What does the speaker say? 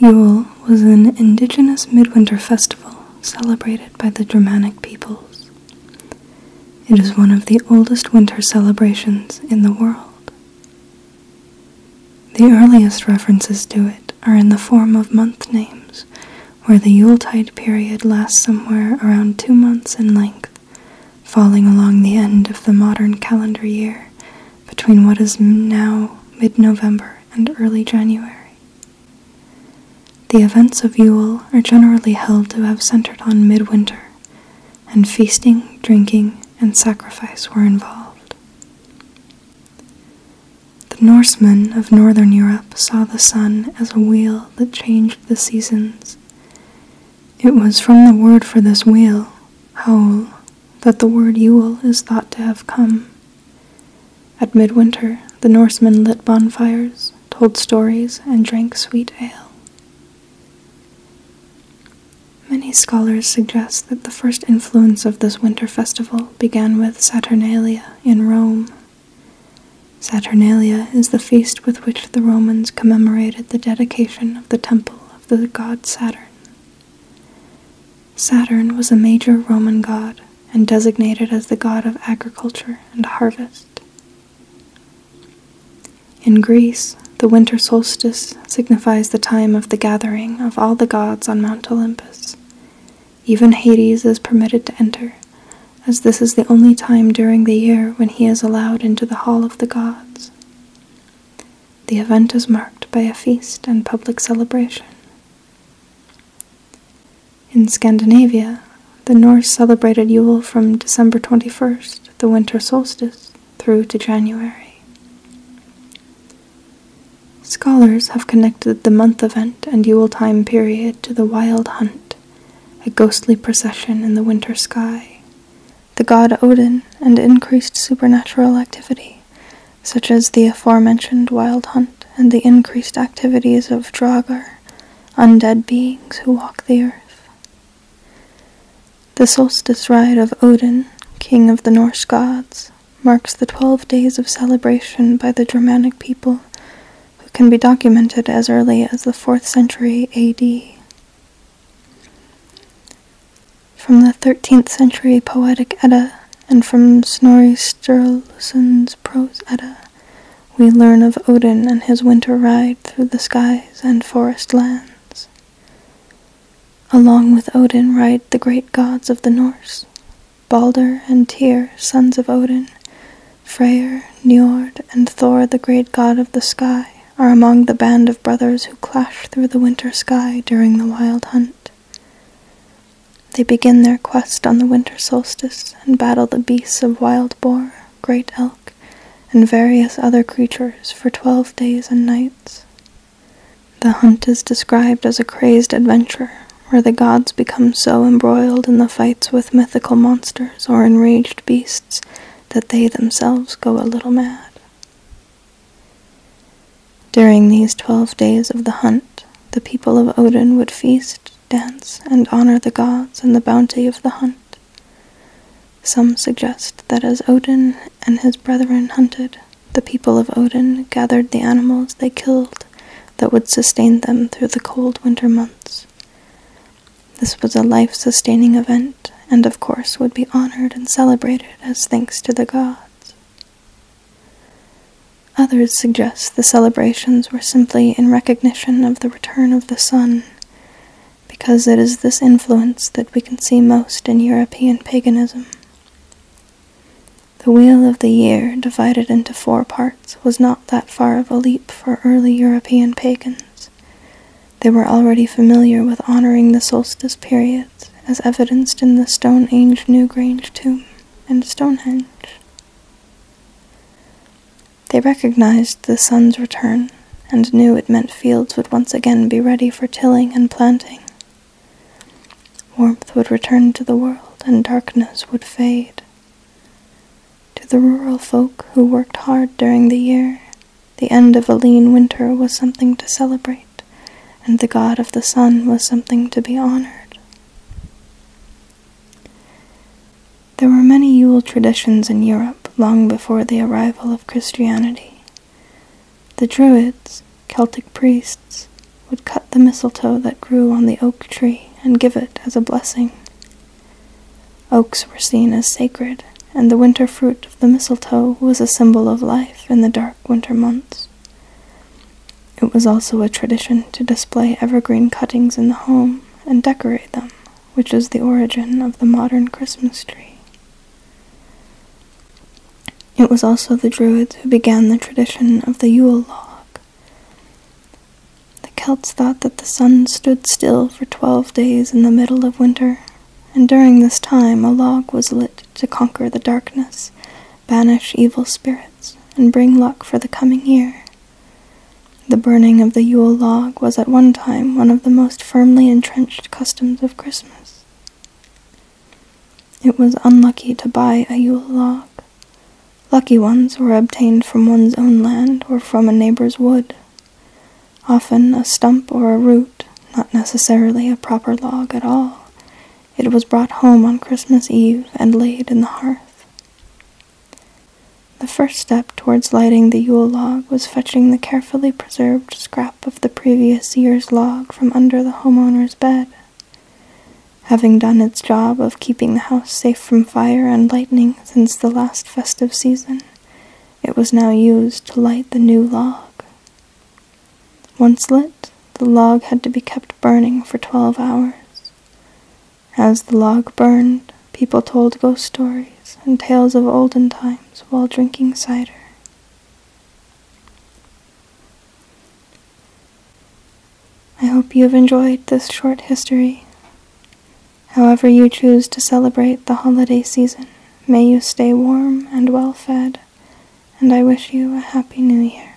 Yule was an indigenous midwinter festival celebrated by the Germanic peoples. It is one of the oldest winter celebrations in the world. The earliest references to it are in the form of month names, where the Yule tide period lasts somewhere around two months in length falling along the end of the modern calendar year between what is now mid November and early January. The events of Yule are generally held to have centered on midwinter, and feasting, drinking, and sacrifice were involved. The Norsemen of northern Europe saw the sun as a wheel that changed the seasons. It was from the word for this wheel, howl, that the word Yule is thought to have come. At midwinter, the Norsemen lit bonfires, told stories, and drank sweet ale. Many scholars suggest that the first influence of this winter festival began with Saturnalia in Rome. Saturnalia is the feast with which the Romans commemorated the dedication of the temple of the god Saturn. Saturn was a major Roman god and designated as the god of agriculture and harvest. In Greece, the winter solstice signifies the time of the gathering of all the gods on Mount Olympus. Even Hades is permitted to enter, as this is the only time during the year when he is allowed into the Hall of the Gods. The event is marked by a feast and public celebration. In Scandinavia, the Norse celebrated Yule from December 21st, the winter solstice, through to January. Scholars have connected the month event and Yule time period to the Wild Hunt, a ghostly procession in the winter sky. The god Odin and increased supernatural activity, such as the aforementioned wild hunt and the increased activities of Draugr, undead beings who walk the earth. The solstice ride of Odin, king of the Norse gods, marks the twelve days of celebration by the Germanic people who can be documented as early as the 4th century AD. From the 13th century Poetic Edda and from Snorri Sturluson's Prose Edda, we learn of Odin and his winter ride through the skies and forest lands. Along with Odin ride the great gods of the Norse, Balder and Tyr, sons of Odin, Freyr, Njord, and Thor, the great god of the sky, are among the band of brothers who clash through the winter sky during the wild hunt. They begin their quest on the winter solstice and battle the beasts of wild boar, great elk, and various other creatures for twelve days and nights. The hunt is described as a crazed adventure where the gods become so embroiled in the fights with mythical monsters or enraged beasts that they themselves go a little mad. During these twelve days of the hunt, the people of Odin would feast, dance, and honor the gods and the bounty of the hunt. Some suggest that as Odin and his brethren hunted, the people of Odin gathered the animals they killed that would sustain them through the cold winter months. This was a life sustaining event, and of course would be honored and celebrated as thanks to the gods. Others suggest the celebrations were simply in recognition of the return of the sun, because it is this influence that we can see most in European paganism. The wheel of the year, divided into four parts, was not that far of a leap for early European pagans. They were already familiar with honoring the solstice periods, as evidenced in the Stone Age Newgrange tomb and Stonehenge. They recognized the sun's return and knew it meant fields would once again be ready for tilling and planting, Warmth would return to the world and darkness would fade. To the rural folk who worked hard during the year, the end of a lean winter was something to celebrate, and the god of the sun was something to be honored. There were many Yule traditions in Europe long before the arrival of Christianity. The Druids, Celtic priests, would cut the mistletoe that grew on the oak tree and give it as a blessing. Oaks were seen as sacred, and the winter fruit of the mistletoe was a symbol of life in the dark winter months. It was also a tradition to display evergreen cuttings in the home and decorate them, which is the origin of the modern Christmas tree. It was also the Druids who began the tradition of the Yule log. The Celts thought that the sun stood still for twelve days in the middle of winter, and during this time a log was lit to conquer the darkness, banish evil spirits, and bring luck for the coming year. The burning of the Yule log was at one time one of the most firmly entrenched customs of Christmas. It was unlucky to buy a Yule log. Lucky ones were obtained from one's own land or from a neighbor's wood. Often a stump or a root, not necessarily a proper log at all, it was brought home on Christmas Eve and laid in the hearth. The first step towards lighting the Yule log was fetching the carefully preserved undisturbed scrap of the previous year's log from under the homeowner's bed. Having done its job of keeping the house safe from fire and lightning since the last festive season, it was now used to light the new log. Once lit, the log had to be kept burning for twelve hours. As the log burned, people told ghost stories and tales of olden times while drinking cider. I hope you have enjoyed this short history. However, you choose to celebrate the holiday season, may you stay warm and well fed, and I wish you a happy new year.